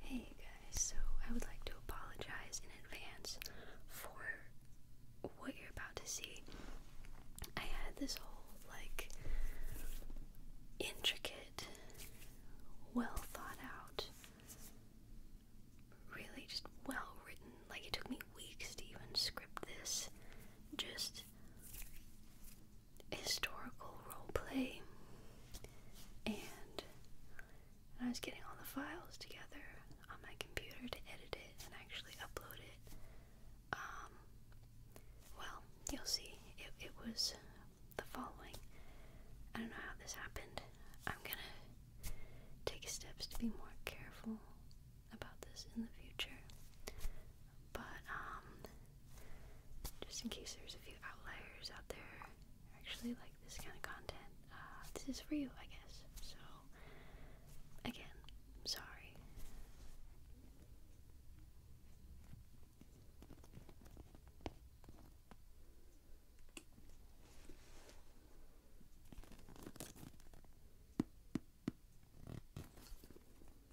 Hey guys, so I would like to apologize in advance for what you're about to see. I had this whole like intricate, well thought out, really just well written, like it took me weeks to even script this. Just historical role play, and I was getting all the files together on my computer to edit it and actually upload it. Um, well, you'll see. It, was the following. I don't know how this happened. I'm gonna take steps to be more careful about this in the future. But, um, just in case there's a few outliers out there actually like this kind of content. Uh, this is for you, I guess. So, again, sorry.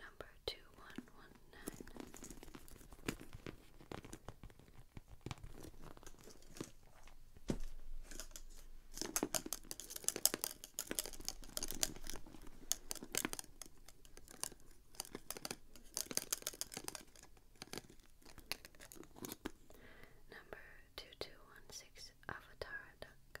Number two one one nine. Number two two one six Avatar Duck.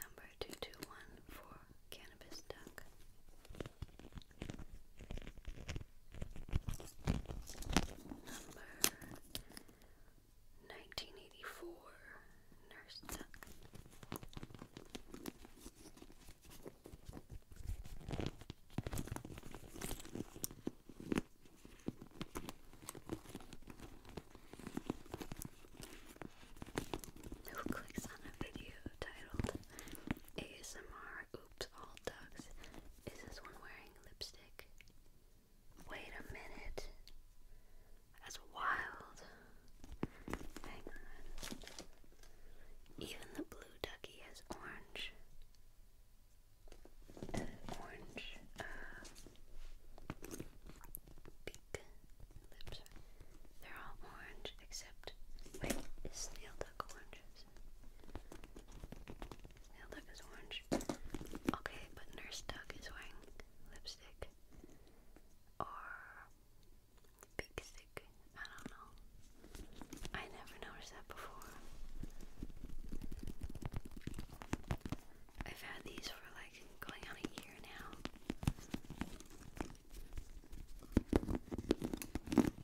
Number two two one cannabis duck. Number nineteen eighty four nurse clicks on a video titled ASMR Oops All Ducks? Is this one wearing lipstick? Wait a minute as wild. Even the blue ducky has orange. orange uh, beak. Lips. They're all orange except. Wait, is snail duck orange? Snail duck is orange. Okay, but Nurse Duck is wearing lipstick or Kuksik. I don't know. I never noticed that before. I've had these for like going on a year now.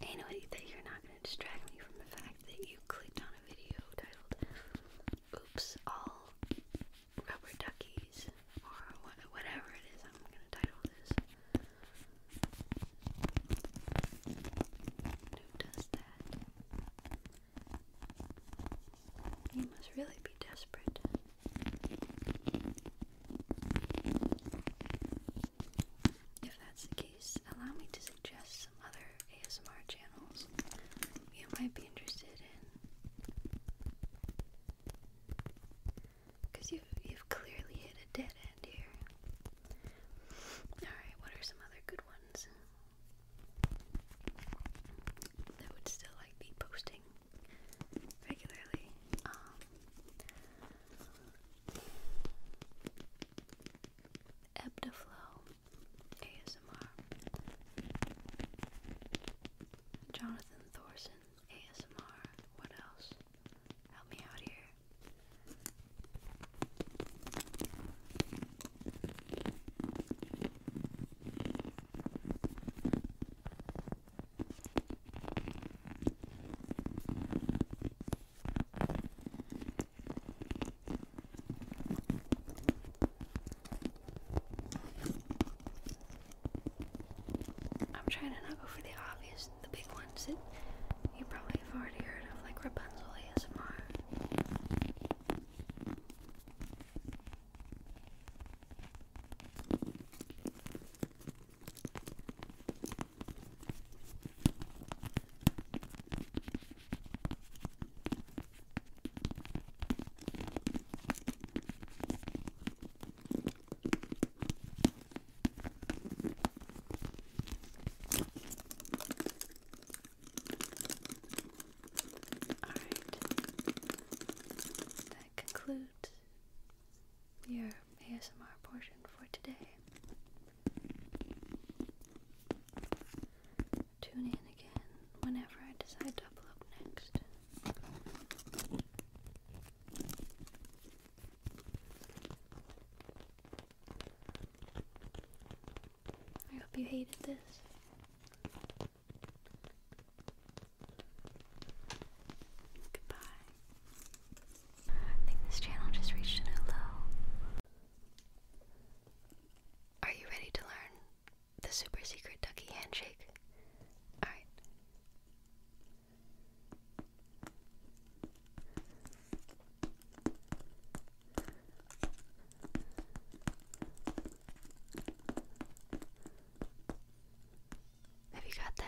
Ain't that you're not gonna distract me from the fact that you clicked on a video titled Oops All rubber duckies or whatever it is I'm gonna title this. Who does that? You must really be desperate. If that's the case, allow me to suggest other ASMR channels you might be interested in. Because you've, you've clearly hit a dead end here. Alright, what are some other good ones? That would still like be posting regularly. Um, ASMR Jonathan Thorson ASMR what else? Help me out here. I'm trying to not go for the obvious, the big ones that you probably have already heard of, like Rapunzel ASMR. All right. That concludes your ASMR portion for today. Tune in again whenever I decide to upload next. I hope you hated this. Goodbye. Are you ready to learn the super secret ducky handshake? Alright. Have you got that?